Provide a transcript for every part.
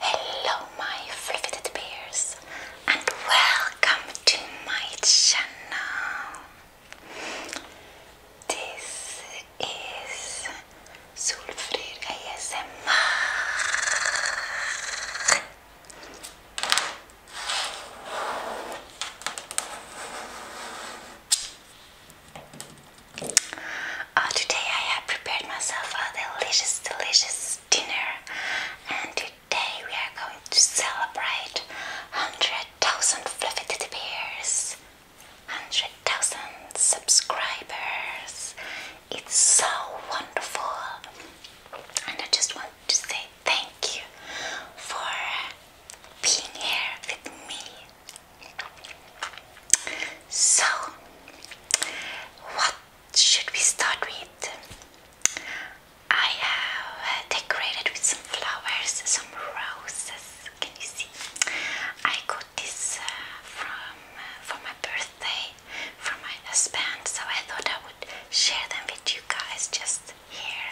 Hello, my fliveted bears, and welcome to my channel. This is Sulfrir ASMR. Oh, today I have prepared myself a delicious, delicious dinner, and today we are going to celebrate 100,000 fluffy teddy bears, 100,000 subscribers. It's so wonderful, and I just want to say thank you for being here with me so, what should we start with? I have decorated with some flowers, some roses. Can you see? I got this uh, from uh, for my birthday from my husband, so I thought I would share them with you guys just here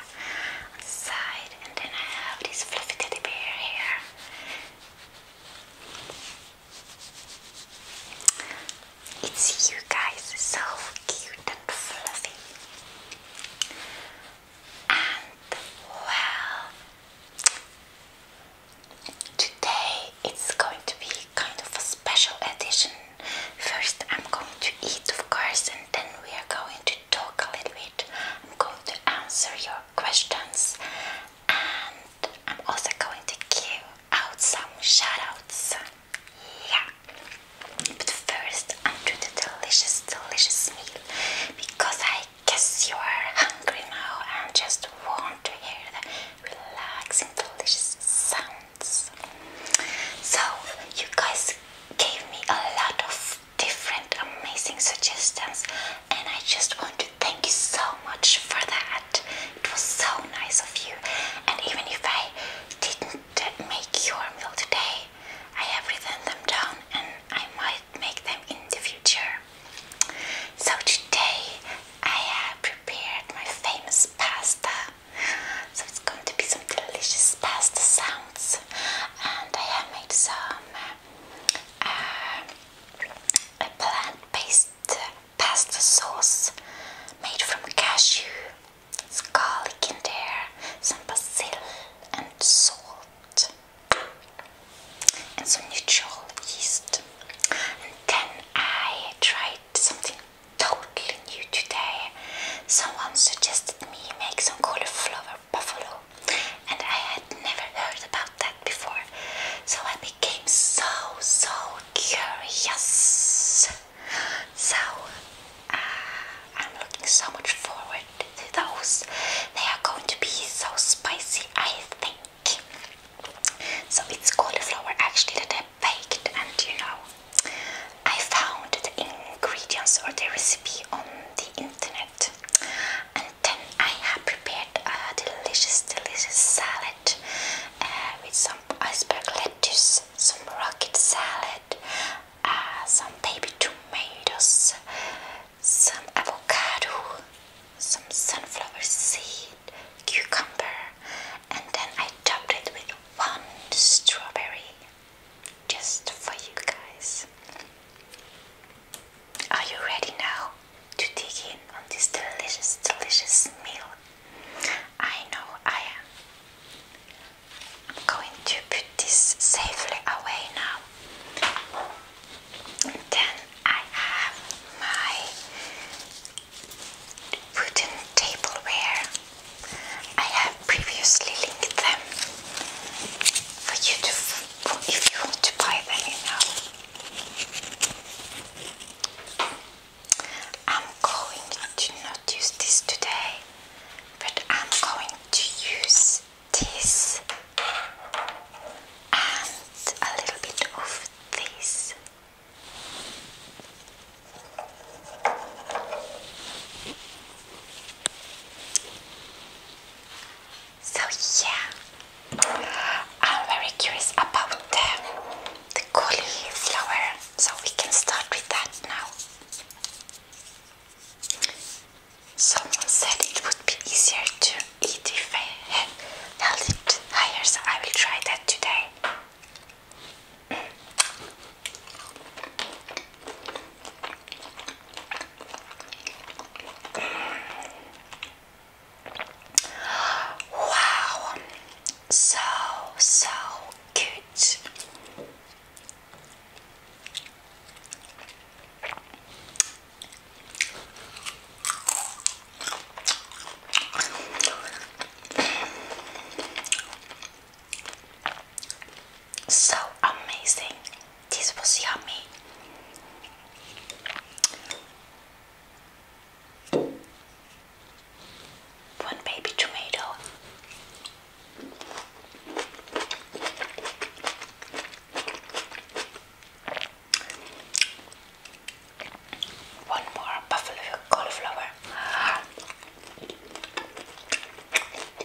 side, and then I have this fluffy teddy bear here. It's you guys, so cute and fluffy. And well, today it's going to be kind of a special edition. First, I'm going to eat, of course, and then we are going to talk a little bit. I'm going to answer your questions and I'm also going to give out some shoutouts. Yeah. But first, under the delicious, delicious meal, because I guess you are hungry now and just want to hear the relaxing, delicious sounds. So, you guys gave me a lot of different amazing suggestions and I just want to thank you so much for that. It was so nice of you and even if I didn't make your meal today, I have written them down and I might make them in the future. So today I have prepared my famous pasta. So it's going to be some delicious pasta sounds and I have made some uh, uh, a plant-based pasta sauce made from cashew. It's garlic in there, some basil and salt, and some neutral yeast. And then I tried something totally new today. Someone suggested me make some cauliflower buffalo, and I had never heard about that before, so I became so so curious. So uh, I'm looking so much forward to those. They are going to be so spicy, I think. So it's cauliflower actually that I baked, and you know, I found the ingredients or the recipe on the internet, then I have prepared a delicious, delicious salad uh, with some iceberg lettuce, some rocket salad, uh, some baby tomatoes, some avocado, some sunflower seed, cucumber, and then I topped it with one strawberry just for you guys. Are you ready now to dig in on this delicious, delicious meal? I know I am. I'm going to put this safely away now. then I have my wooden tableware. I have previously linked them for you to if you want to buy them, you know. I'm going to not use this today, but I'm going to use this and a little bit of this. So yeah, I'm very curious about the, the so we can start with that now. Someone said it would be easier to eat if I held it higher, so I will try that today. Wow, so so good. So amazing. This was yummy. One baby tomato. One more buffalo cauliflower.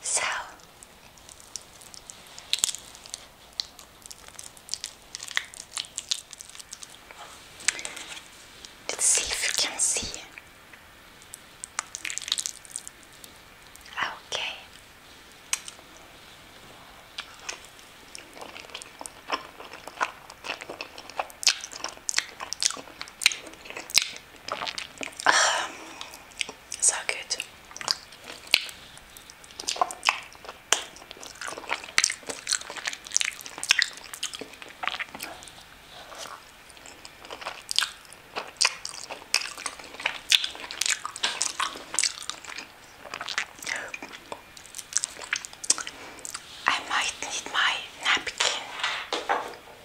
So let's see if you can see. Okay so good. I might need my napkin.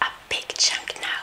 A big chunk now.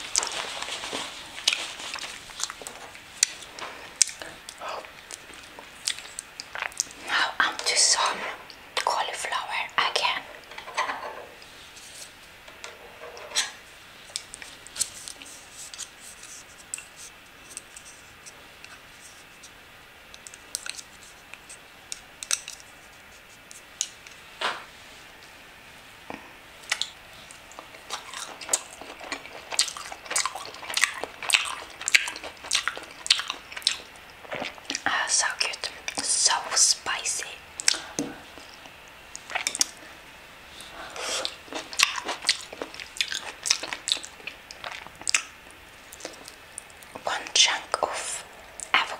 Now I'm to some cauliflower again. Oh, so good, so spicy. One chunk of avocado.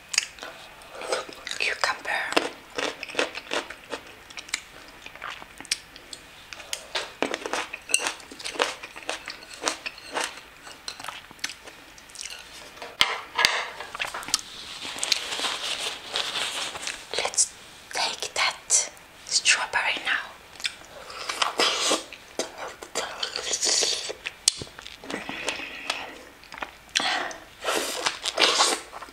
cucumber. Let's take that strawberry now.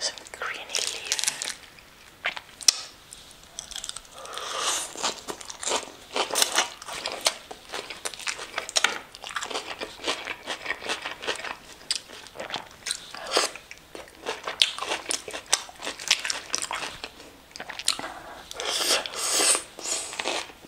some green leaf.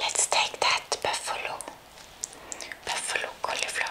Let's take that buffalo buffalo cauliflower.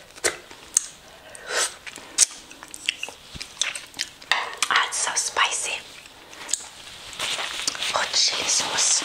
That's so spicy. Hot chili sauce.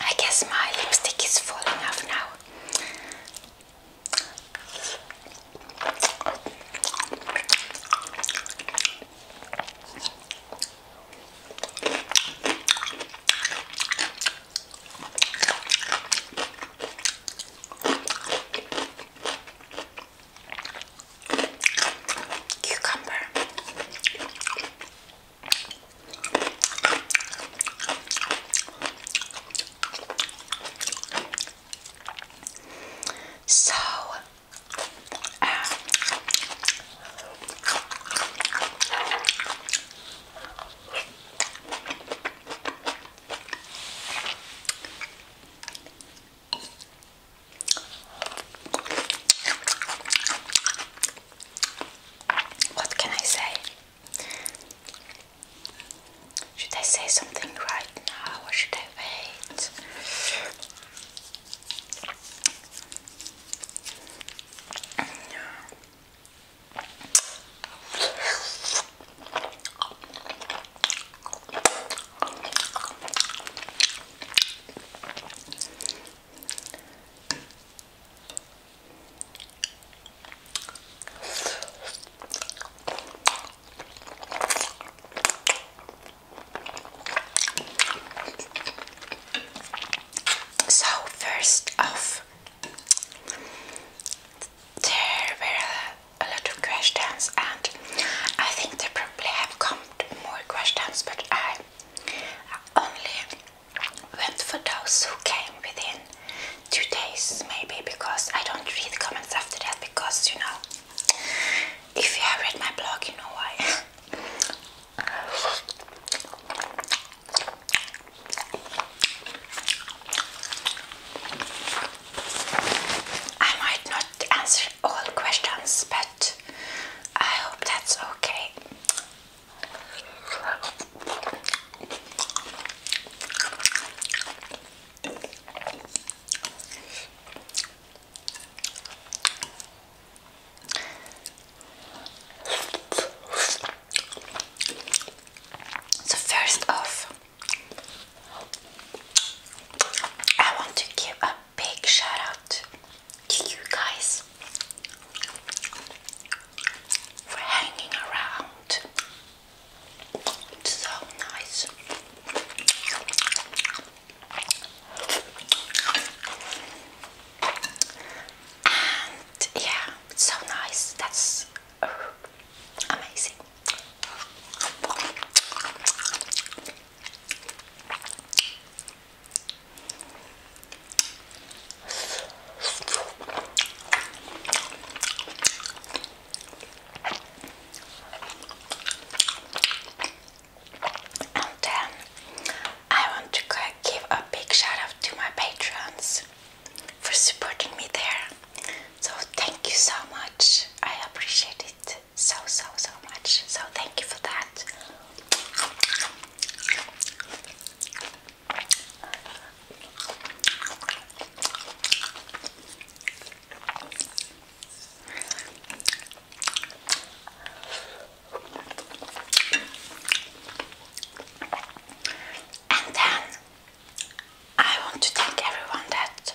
I guess my lipstick is falling off now. Cucumber. So, uh, what can I say? Should I say something right now or should I wait? So first off, there were a lot of questions, and I think they probably have come more questions, but I only went for those who came within two days, maybe, because I don't read comments after that. Because you know, if you have read my blog, you know why. I might not answer all questions, but I hope that's okay. So, first off, I want to give a big shout out to you guys for hanging around. so nice. And yeah, it's so nice. That's oh, amazing. And then I want to give a big shout out to my patrons for supporting me there. So thank you so much. I appreciate it so so so much. So thank you for that. And then I want to thank everyone that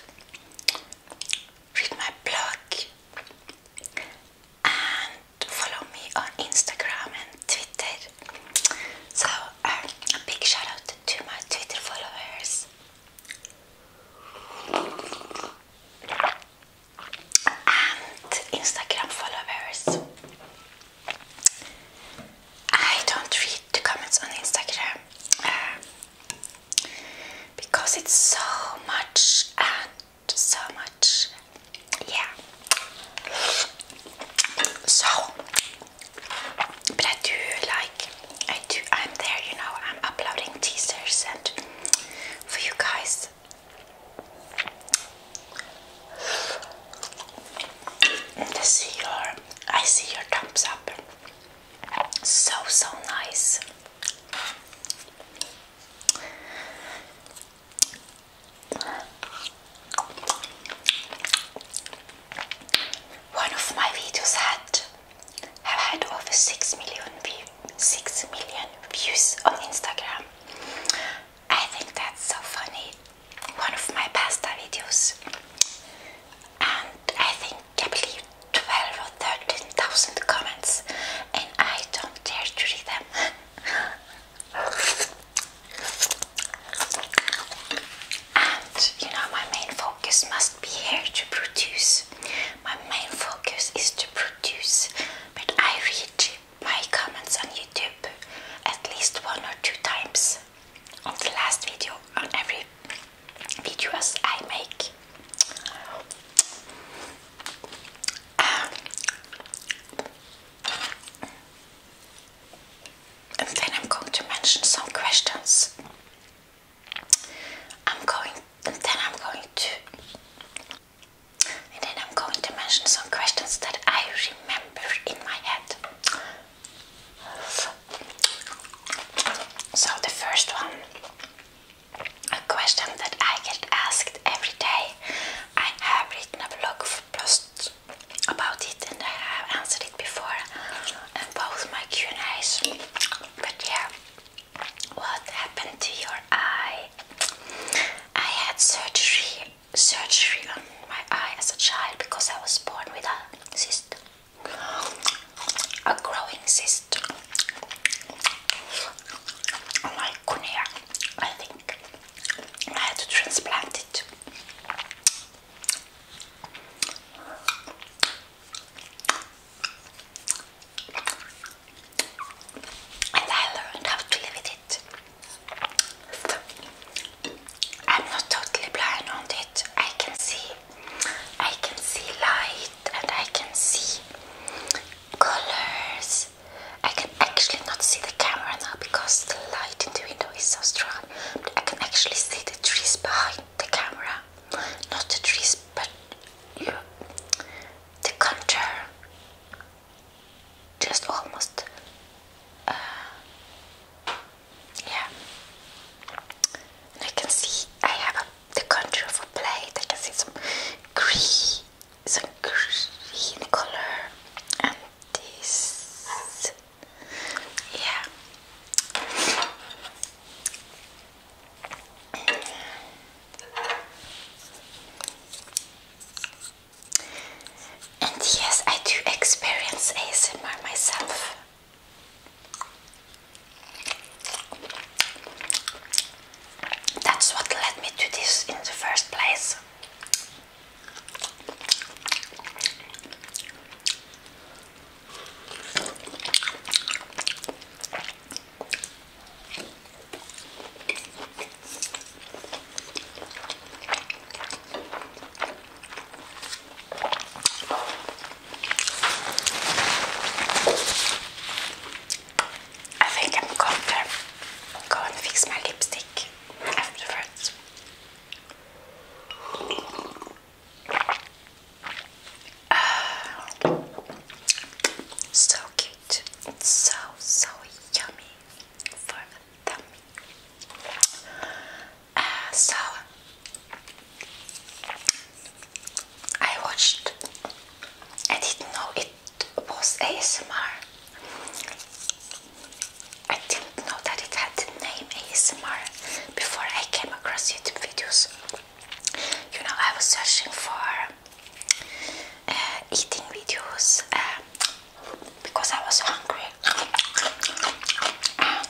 read my blog and follow me on Instagram Twitter. So um, a big shout out to my Twitter followers. And Instagram followers. I don't read the comments on Instagram um, because it's so much and so much yeah. So, but I do like, I do, I'm there, you know, I'm uploading teasers and for you guys. And see your, I see your thumbs up. So, so nice. One of my videos had have had over six million six million views on Instagram. I think that's so funny. One of my pasta videos, and I think I believe twelve or thirteen thousand comments, and I don't dare to read them. And you know, my main focus must be here to produce. My main focus is to produce, but I read my comments on YouTube at least one or two times on the last video, on every video I make. Um, and then I'm going to mention some questions. I'm going, and then I'm going to, and then I'm going to mention some questions that I remember in my head. So the first one, a question that I get asked every day. I have written a blog for post about it and I have answered it before in both my q but yeah what happened to your eye? I had surgery surgery on my eye as a child because I was born with a cyst a growing cyst on my cornea I think I had to transplant it and I learned how to live with it. I'm not totally blind on it. I can see, I can see light, and I can see colors. I can can actually not see the camera now because the light in the window is so strong. But I can actually see the trees behind the camera. Not the trees, but the contour. Just almost. Uh, yeah. I can see I have the contour of a plate. I can see some green, some green color, this. Yeah. And yes, I do experience ASMR myself. That's what led me to this in the first place. I think I'm going go and fix my lipstick afterwards. so cute. It's so, so yummy ah, so, I watched, I didn't know it was ASMR. I didn't know that it had the name ASMR before I came across YouTube videos. You know, I was searching for uh, eating videos uh, because I was hungry. And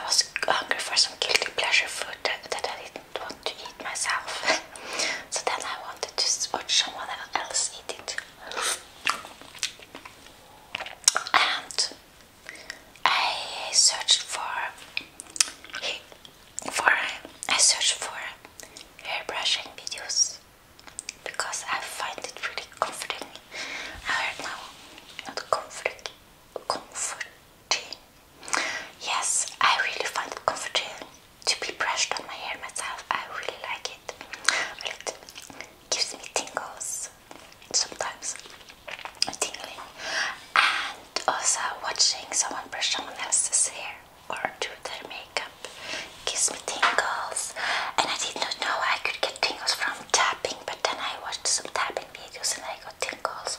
I was hungry for some guilty pleasure food that I didn't didn't want to eat myself. so then I wanted to watch someone else eat it. And I searched for for I searched for hair brushing videos because I find it really comforting. I heard now not comforting comforting Yes, I really find it comforting to be brushed on my hair myself. I really like it. Well, it gives me tingles sometimes, tingling, and also watching someone brush someone else's hair or do their makeup gives me tingles. And I did not know I could get tingles from tapping, but then I watched some tapping videos and I got tingles.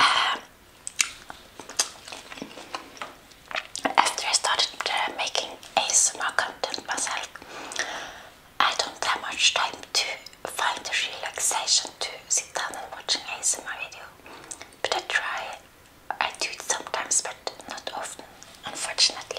Um, after I started uh, making ASMR content myself, I don't have much time to find the relaxation to sit down and watch an ASMR video. But I try, I do it sometimes, but not often, unfortunately.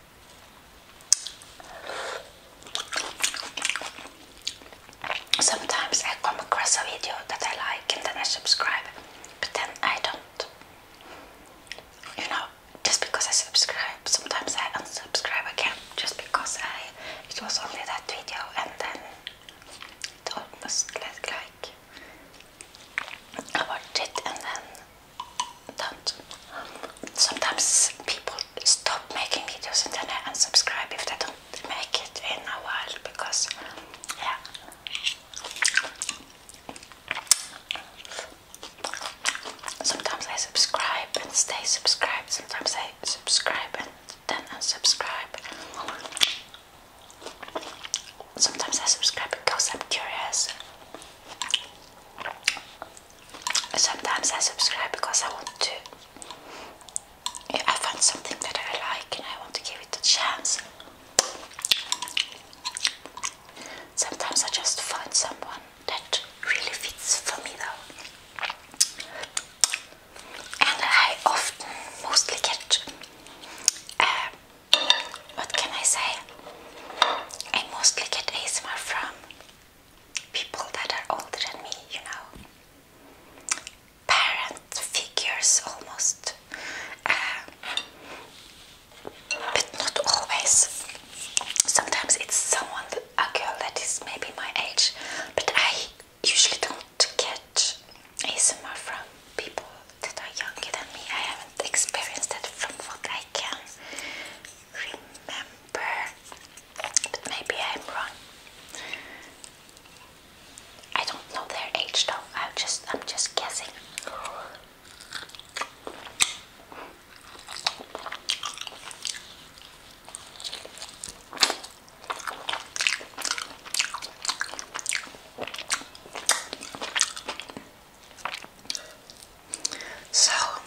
Sometimes I come across a video that I like and then I subscribe, but then I don't. You know, just because I subscribe, sometimes I unsubscribe again, just because I it was only that video and then it almost like, like I watched it and then do Sometimes people stop making videos and then I unsubscribe if they don't make it in a while because, yeah. Sometimes I subscribe and stay subscribed, sometimes I subscribe and then unsubscribe. Sometimes I subscribe because I'm curious. Sometimes I subscribe because I want to. I find something that I like and I want to give it a chance. Sometimes I just find someone that really fits for me though. And I often mostly get, uh, what can I say? I mostly get ASMR from people that are older than me, you know, parent figures almost, uh, but not always. Sometimes it's someone, a girl that is maybe my age, but I usually don't get ASMR from people that are younger than me. I haven't experienced that from what I can remember but maybe I'm wrong. I don't know their age though. I just I'm just guessing. So my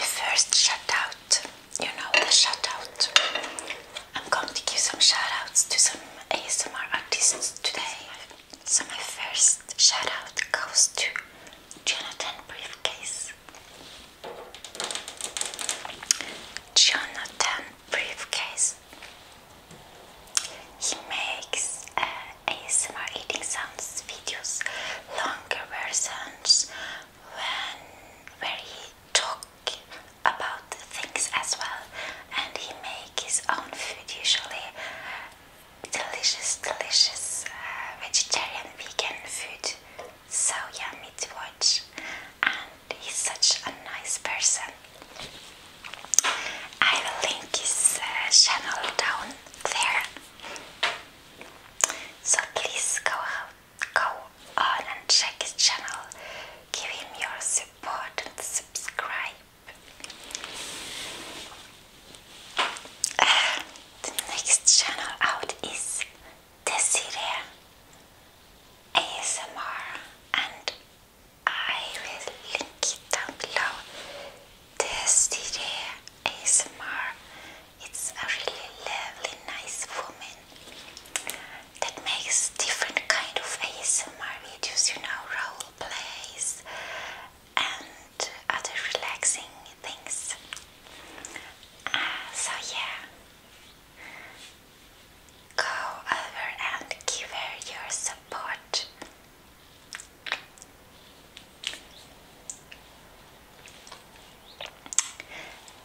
first shout out, you know the shout out. I'm going to give some shout outs to some ASMR artists today. So my first shout out goes to Jonathan Briefcase. Jonathan briefcase. He makes uh, ASMR eating sounds videos, longer versions when where he talk about things as well, and he make his own food usually delicious, delicious uh, vegetarian, vegan food so yummy to watch, and he's such a nice person. I will link his uh, channel down there, so please go out, go on and check his channel. Give him your support and subscribe. Uh, the next channel out is Desiree ASMR and I will link it down below. Desiree ASMR. It's a really lovely, nice woman that makes different kind of ASMR videos, you know, role plays and other relaxing things. Ah, so yeah, go over and give her your support.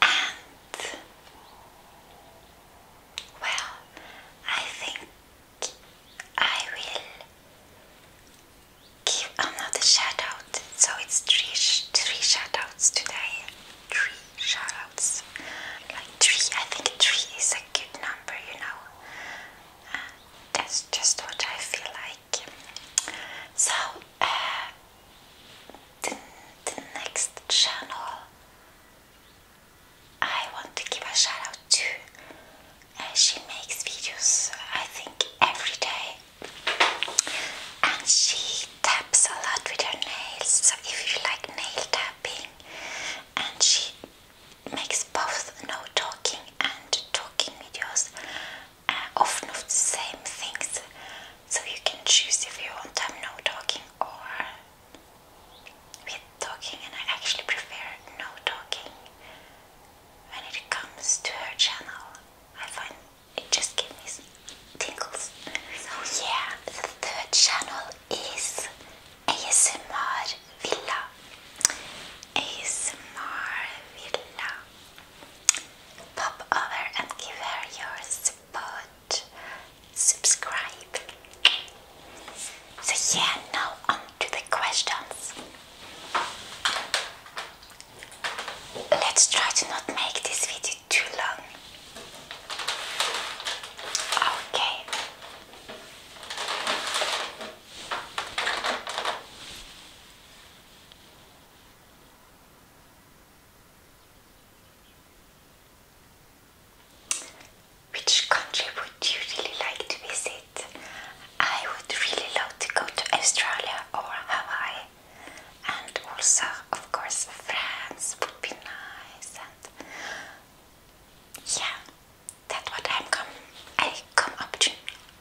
And well, I think I will give another shout out. So it's three, three shout outs today. Three shout outs. Like three, I think three is a good number, you know. Uh, that's just what I feel like. So, uh, the, the next channel I want to give a shout out to. Uh, she makes videos, I think, every day and she taps a lot with her nails. So if you like nail tapping, and she makes both no talking and talking videos uh, often of the same things. So you can choose if you want to have no talking or with talking, and I actually prefer no talking when it comes to her channel. I find it just gave me tingles. So yeah, the third channel is ASMR Villa. ASMR Villa. Pop over and give her your support. Subscribe. So yeah, now on the questions. Let's try to not make this video too long. Okay. Which country would you really like to visit? I would really love to go to Australia or Hawaii and also, of course, France would be nice. And yeah, that's what I'm come. I come up to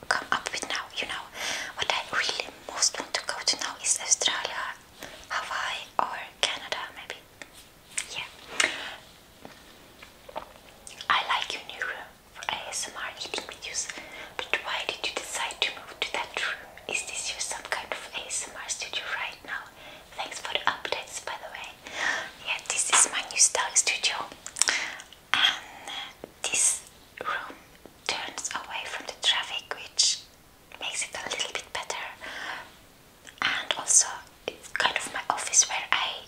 come up with now. You know, what I really most want to go to now is Australia, Hawaii, or Canada, maybe. Yeah, I like your new room for ASMR eating but why did you decide to move to that room? Is this your some kind of ASMR studio right now? Thanks for the updates, by the way. Yeah, this is my new style studio, and this room turns away from the traffic, which makes it a little bit better. And also, it's kind of my office where I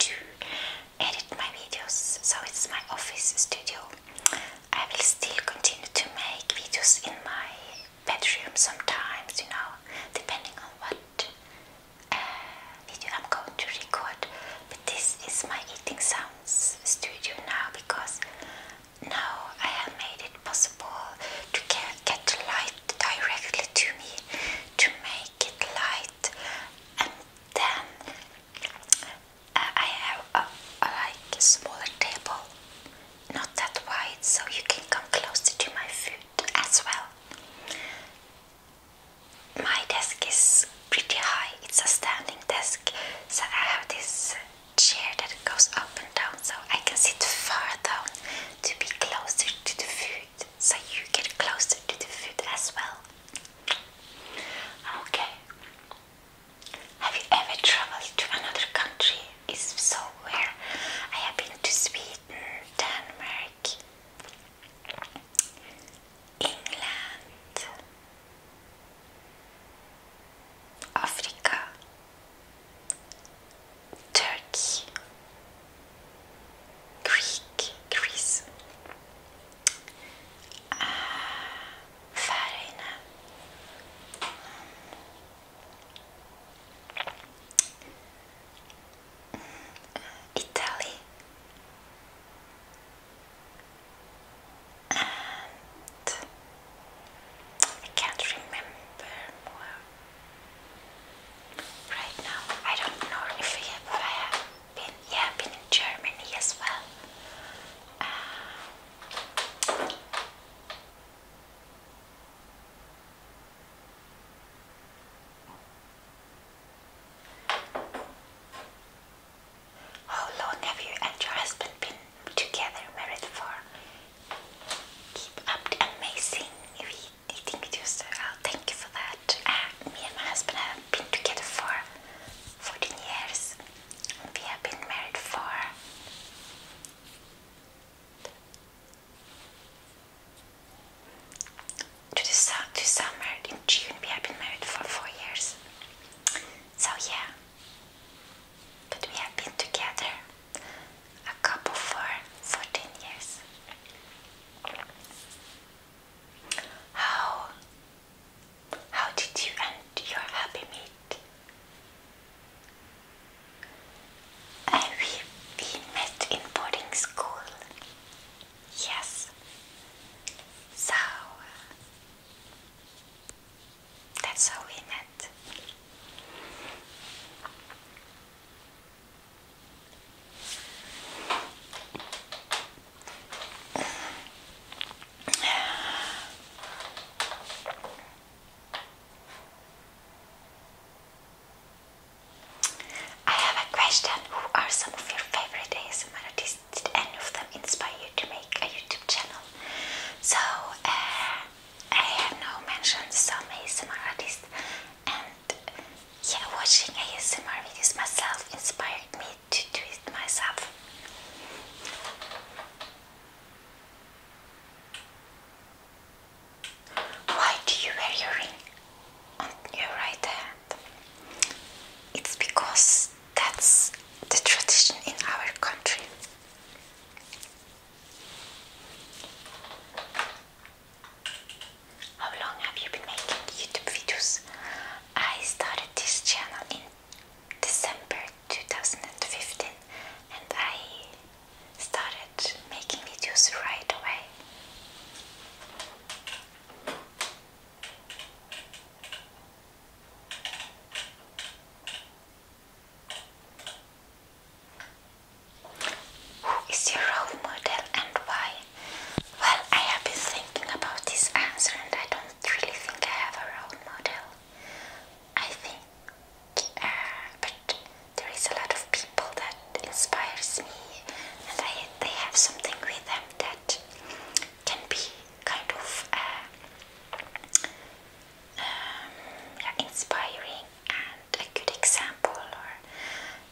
do edit my videos, so it's my office studio. I will still continue to make videos in my bedroom sometimes, you know, depending on what uh, video I'm going to record. But this is my eating sounds studio now because now I have made it possible to get, get light directly to me, to make it light and then uh, I have a, like smaller table, not that wide, so you can come closer to my food as well. My desk is pretty high, it's a standing desk, so I have this chair that goes up and down so I can sit far down to be closer to the food, so you get closer to the food as well. Okay, have you ever traveled to another country? It's so, rare. I have been to Sweden, Denmark, England, Africa, Turkey, Greek, Greece a um, Italy I can't remember more right now. I don't know if I have, been, yeah, been in Germany as well. Uh, how long have you and your husband been together, married for? Keep up the amazing eating videos. Oh, thank you for that. Ah, me and my husband have been together for 14 years. We have been married for to the, to summer in June. We have been married for four years. So yeah, but we have been together a couple for 14 years. How how did you and your happy meet? Uh, we, we met in boarding school. Yes. So uh, that's how we met. I have a question. Who are some of your favorite ASMR artists? Did any of them inspire you to make a YouTube channel? So, uh, I have now mentioned some ASMR artists, and yeah, watching ASMR videos myself inspired me to twist myself. Why do you wear your ring on your right hand? It's because that's the tradition in our country. How long have you been making YouTube videos? I started this channel in December 2015 and I started making videos right away. Who is your role model and why? Well, I have been thinking about this answer and I don't really think I have a role model, I think. Uh, but there is a lot of people that inspires me, and I, they have something with them that can be kind of uh, um, inspiring and a good example. Or,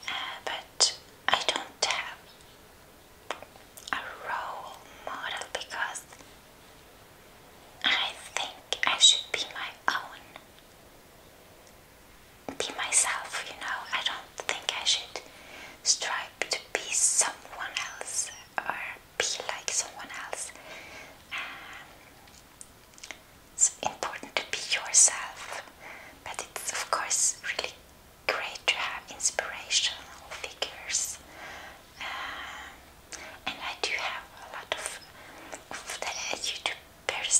uh, but I don't have a role model because I think I should be my own, be myself, you know. I don't think I should strive to be someone else or be like someone else. Um, it's important to be yourself, but it's of course really great to have inspirational figures. Um, and I do have a lot of, of the uh,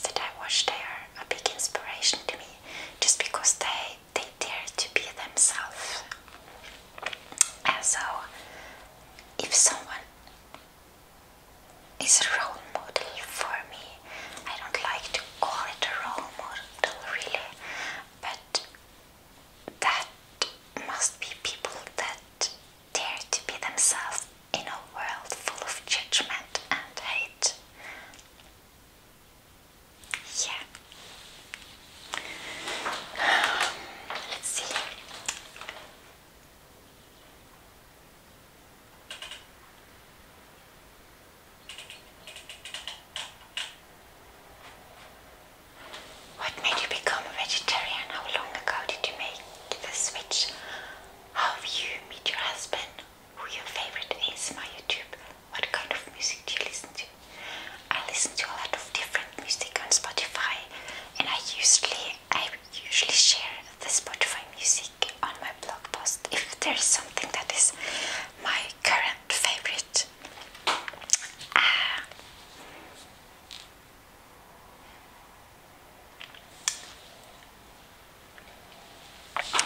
that I watch. They are a big inspiration to me, just because they they dare to be themselves. And so, if someone is a role model for me, I don't like to call it a role model really, but that must be people that dare to be themselves in a world full of judgment and hate. Yeah. Let's see. What made you become a vegetarian? How long ago did you make the switch? How you meet your husband? Who your favorite is my YouTube? What kind of music do you listen to? I listen to a lot of different music on Spotify, and I usually I usually share the Spotify music on my blog post. If there is something that is my current favorite Ah.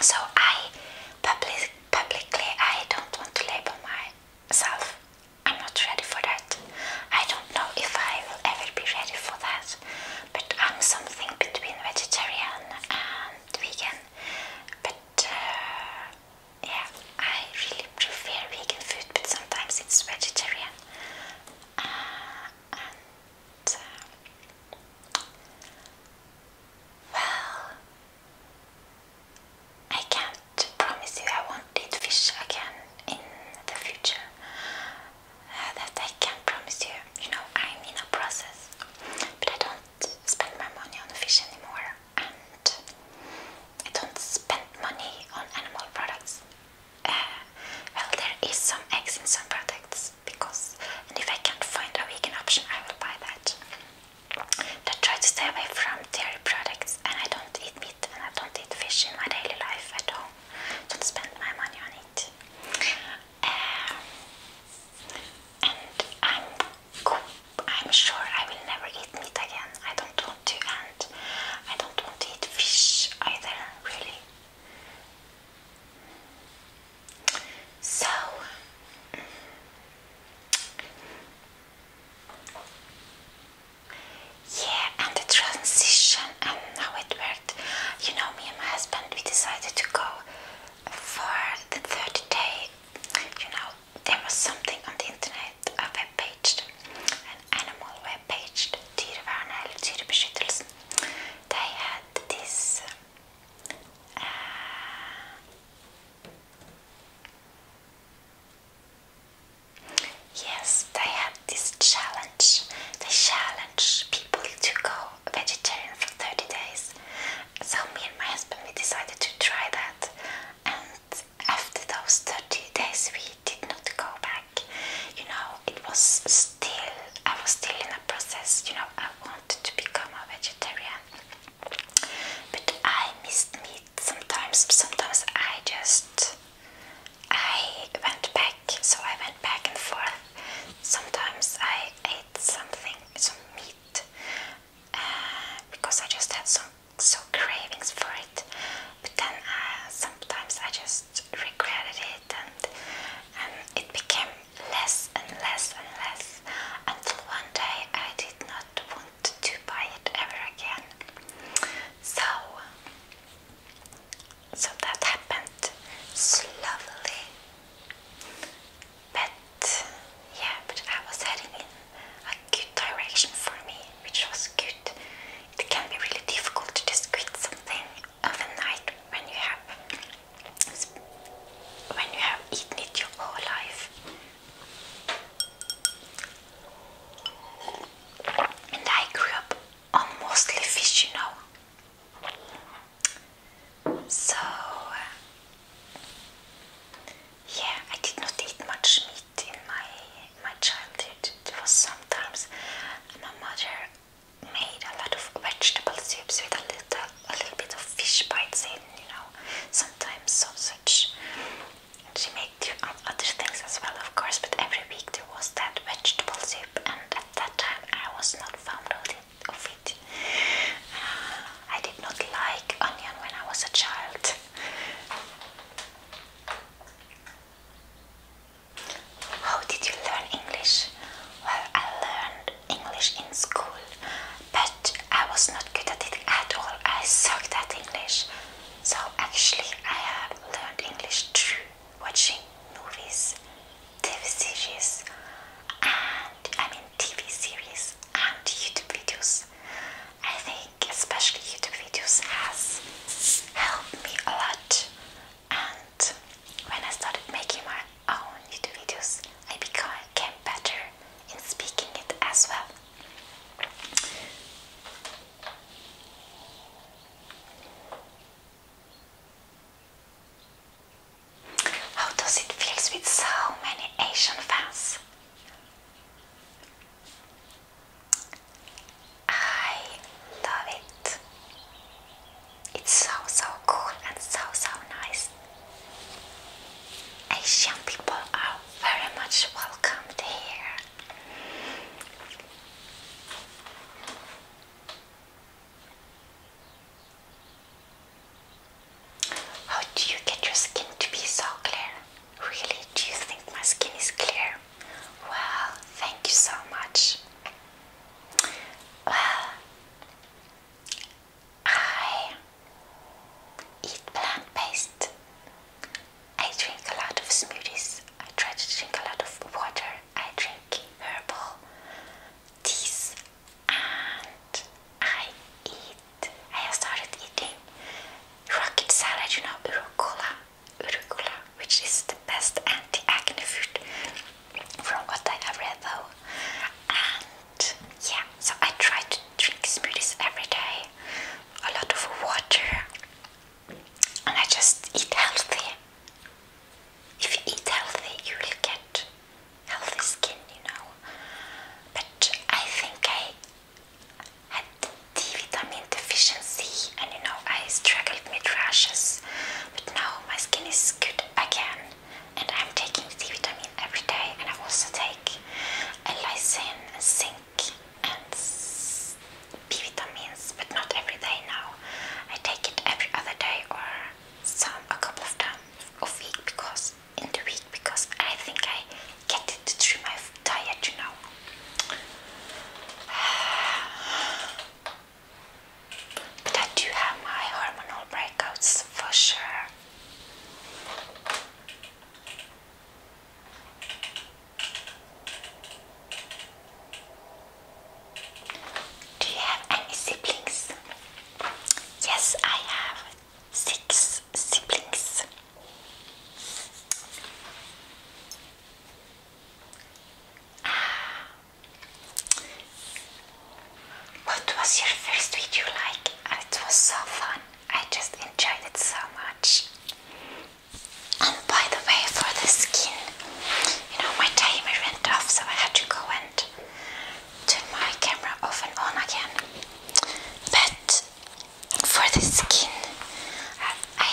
So I public, publicly I don't want to label myself. I'm not ready for that. I don't know if I will ever be ready for that. But I'm something between vegetarian and vegan. But uh, yeah, I really prefer vegan food, but sometimes it's vegetarian. Uh, uh, well, I can't promise you I won't eat fish again in the future. Uh, that I can't promise you. You know, I'm in a process, but I don't spend my money on fish anymore. I don't spend money on animal products. Uh, well, there is some eggs in some products because, if I can't find a vegan option, I will buy that. But I try to stay away from dairy products, and I don't eat meat and I don't eat fish in my daily life at all. Don't spend my money on it. Uh, I'm sure I will never eat meat again. I don't want to, and I don't want to eat fish either, really. So, yeah, and the transition and how it worked. You know, me and my husband, we decided to go for the 30 day. You know, there was something on the internet et av webpage, an animal webpage, Dyrevernet eller Dyrebeskyttelsen. They had this eh, Yes, they had this challenge. They challenge people to go vegetarian for 30 days. So me and my husband we decided to try that and after those 30 days we did not go back. You know, it was still, I was still in a process, you know, I wanted to become a vegetarian. But I missed meat sometimes, sometimes I just, I went back, so I went back and forth. Sometimes I ate something, some meat, because I just had some so cravings for it. But then uh, sometimes I just regretted it, and and it became less and less and less until one day I did not want to buy it ever again. So. So that happened slowly, but yeah, but I was heading in a good direction for me, which was good. It can be really difficult to just quit something overnight when you have when you have eaten it your whole life. And I grew up on mostly fish, you know. So, yeah, I did not eat much meat in my my childhood. It was sometimes my mother made a lot of vegetable soups with a little a little bit of fish bites in, you know, sometimes sausage. she made other things as well, of course, but every week there was that vegetable soup, and at that time I was not fond of it. Uh, I did not like onion when I was a child. How did you learn English? Well, I learned English in school, but I was not good at it at all. I sucked at English. So actually, I have learned English through watching movies, TV series, and I mean TV series and YouTube videos. I think especially YouTube videos has helped me a lot and when I started making my own YouTube videos I became better in speaking it as well. How does it feel with so many Asian fans? I love it. It's so so cool and so so nice. Asian people are very much welcomed here. How do you get your skin to be so clear? Really, do you think my skin is clear? Well, thank you so much. Well, I eat plant based. I drink a lot of smoothies. I try to drink a lot of water. I drink herbal teas and I eat, I started eating rocket salad, you know, urucola, urucola, which is the best anti-acne food from what I have read though. And yeah, so I try to drink smoothies every day, a lot of water, and I just eat healthy. If you eat healthy, you will get healthy skin, you know. But I think I had D vitamin deficiency, and you know, I struggled with rashes, but now my skin is good again, and I'm taking D vitamin every day, and I also take a lysine and zinc and B vitamins, but not every day now. I take it every other day or some a couple of times a week because in the week because I think I get it through my diet, you know. But I do have my hormonal breakouts for sure. Do you have any siblings? Yes, I have six siblings. Ah. What was your first video like? Ah, it was so fun. I just enjoyed it so much. And by the way, for the skin, you know, my timer went off, so I had to go and turn my camera off and on again. But for the skin. I,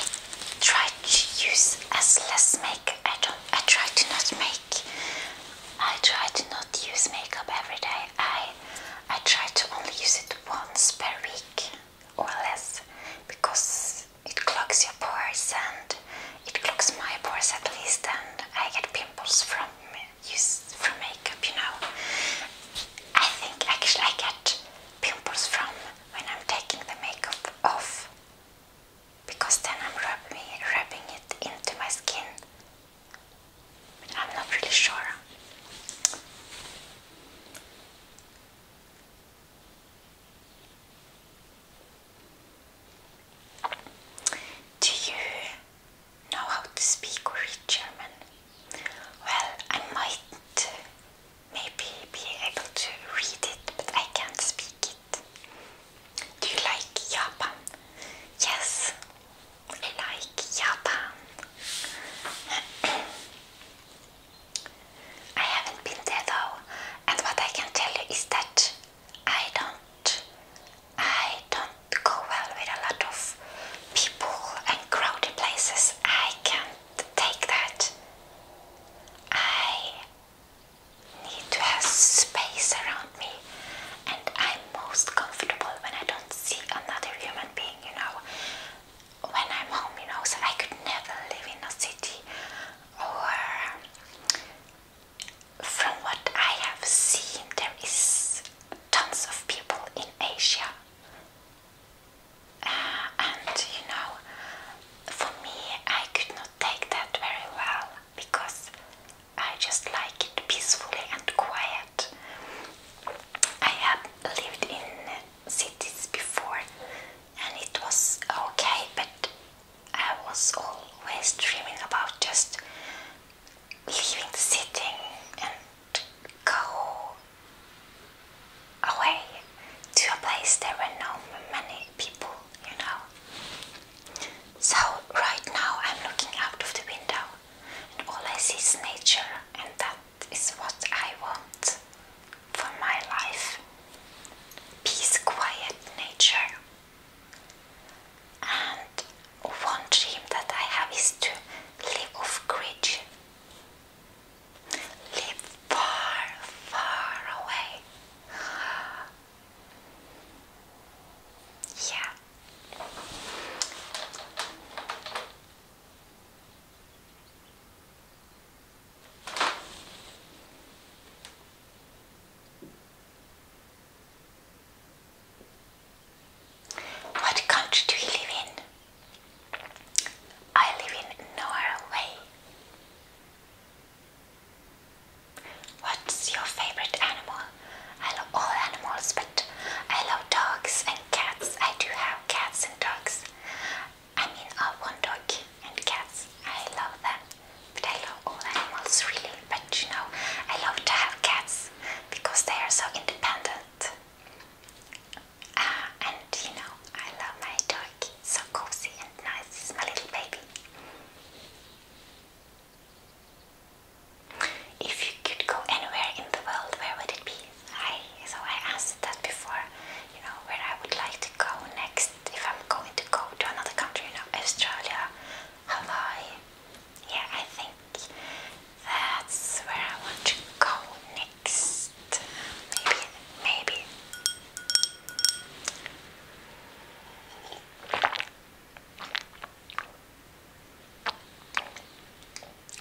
try to use as less makeup. I don't. I try to not make. I try to not use makeup every day. I I try to only use it once per week or less because it clogs your pores and it clogs my pores at least, and I get pimples from use for makeup, you know. I think actually I get pimples from when I'm taking the makeup off because then I'm rubbing, rubbing it into my skin. I'm not really sure. Do you know how to speak or read German. Well, I might maybe be able to read it, but I can't speak it. Do you like Japan? Yes, I like Japan. I haven't been there though, and what I can tell you is that I don't, I don't to go well with a lot of people and crowded places. I can't take that. I need to have space around me, and I'm most comfortable when I don't see another human being, you know. When I'm home, you know, so I could never live in a city or from what I have seen, there is tons of people in Asia and you know, for me, I could not take that very well because I just like it peacefully and quiet. I have lived in cities before and it was okay, but I was always dreaming about just leaving the sitting and go away to a place there are no many people, you know. So right now I'm looking out of the window and all I see is nature and that is what I want for my life. Peace, quiet nature. And one dream that I have is to live off grid. Live far, far away. Yeah. What country do you live in? I live in Norway. What's your favorite animal? I love all animals, but I love dogs and cats. I do have cats and dogs. I mean, I uh, want dog and cats. I love them, but I love all animals really. But you know, I love to have cats because they are so independent. Ah, and you know, I love my turkey, so cozy and nice, my little baby. If you could go anywhere in the world, where would it be? I so I asked that before, you know, where I would like to go next if I'm going to go to another country, you know, Australia, Hawaii. Yeah, I think that's where I want to go next. Maybe, maybe.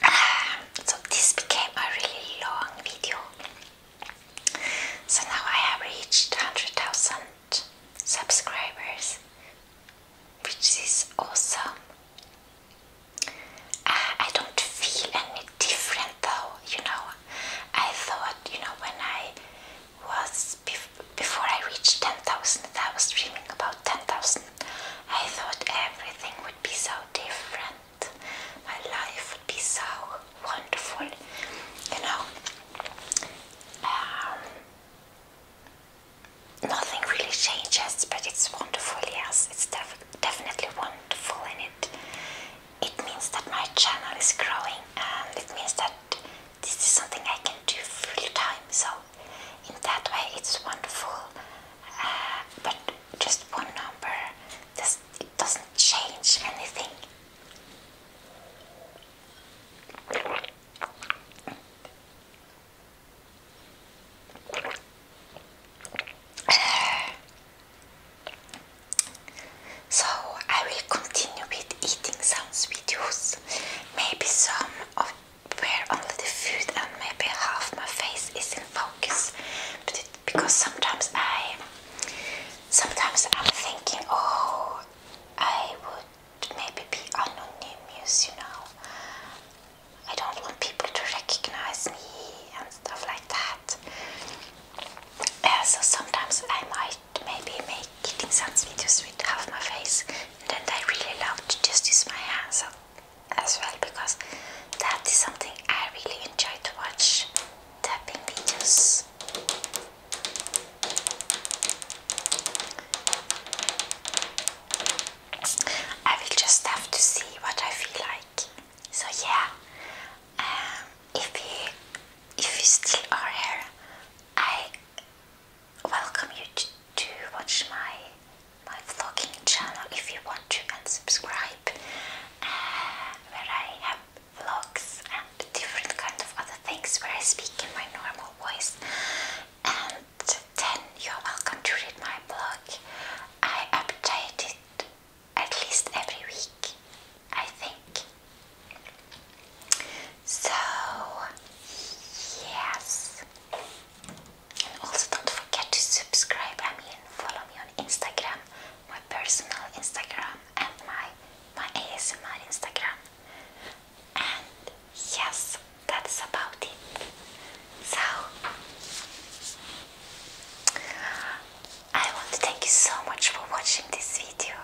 Ah, so this became a really long video. So now I have reached 100,000 subscribers, which is awesome. I don't feel any different though, you know. I thought, you know, when I was before I reached 10,000, I was dreaming about 10,000. I thought everything would be so different, my life would be so wonderful, you know. Um, nothing really changes, but it's wonderful. Yes, it's definitely wonderful, In it it means that my channel is growing, and it means that this is something I can do full time. So in that way, it's wonderful. Uh, but just one number, this, it doesn't change anything. So I will continue with eating some videos. Maybe some of where only the food and maybe half my face is in focus, but because sometimes I, sometimes I'm thinking, oh, I would maybe be anonymous, you know. I don't want people to recognize me and stuff like that. so sometimes I might maybe make getting some videos with half my face and then I really love to just use my hands as well because that is something I really enjoy to watch tapping videos. I will just have to see what I feel like. So yeah, um, if you if you still are here, I welcome you to, watch my my vlogging channel if you want to and subscribe, uh, where I have vlogs and different kind of other things where I speak in my normal voice then you're welcome to read my blog. I update it at least every week, I think. So, yes. also don't forget to subscribe, I mean follow me on Instagram, my personal Instagram and my, my ASMR Instagram. And yes, that's about it. So, I want to thank you so much for watching this video.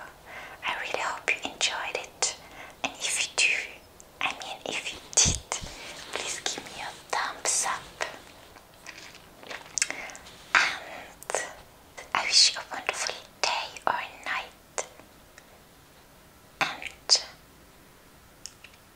I really hope you enjoyed it. And if you do, I mean, if you did, please give me a thumbs up. And I wish you a wonderful day or night. And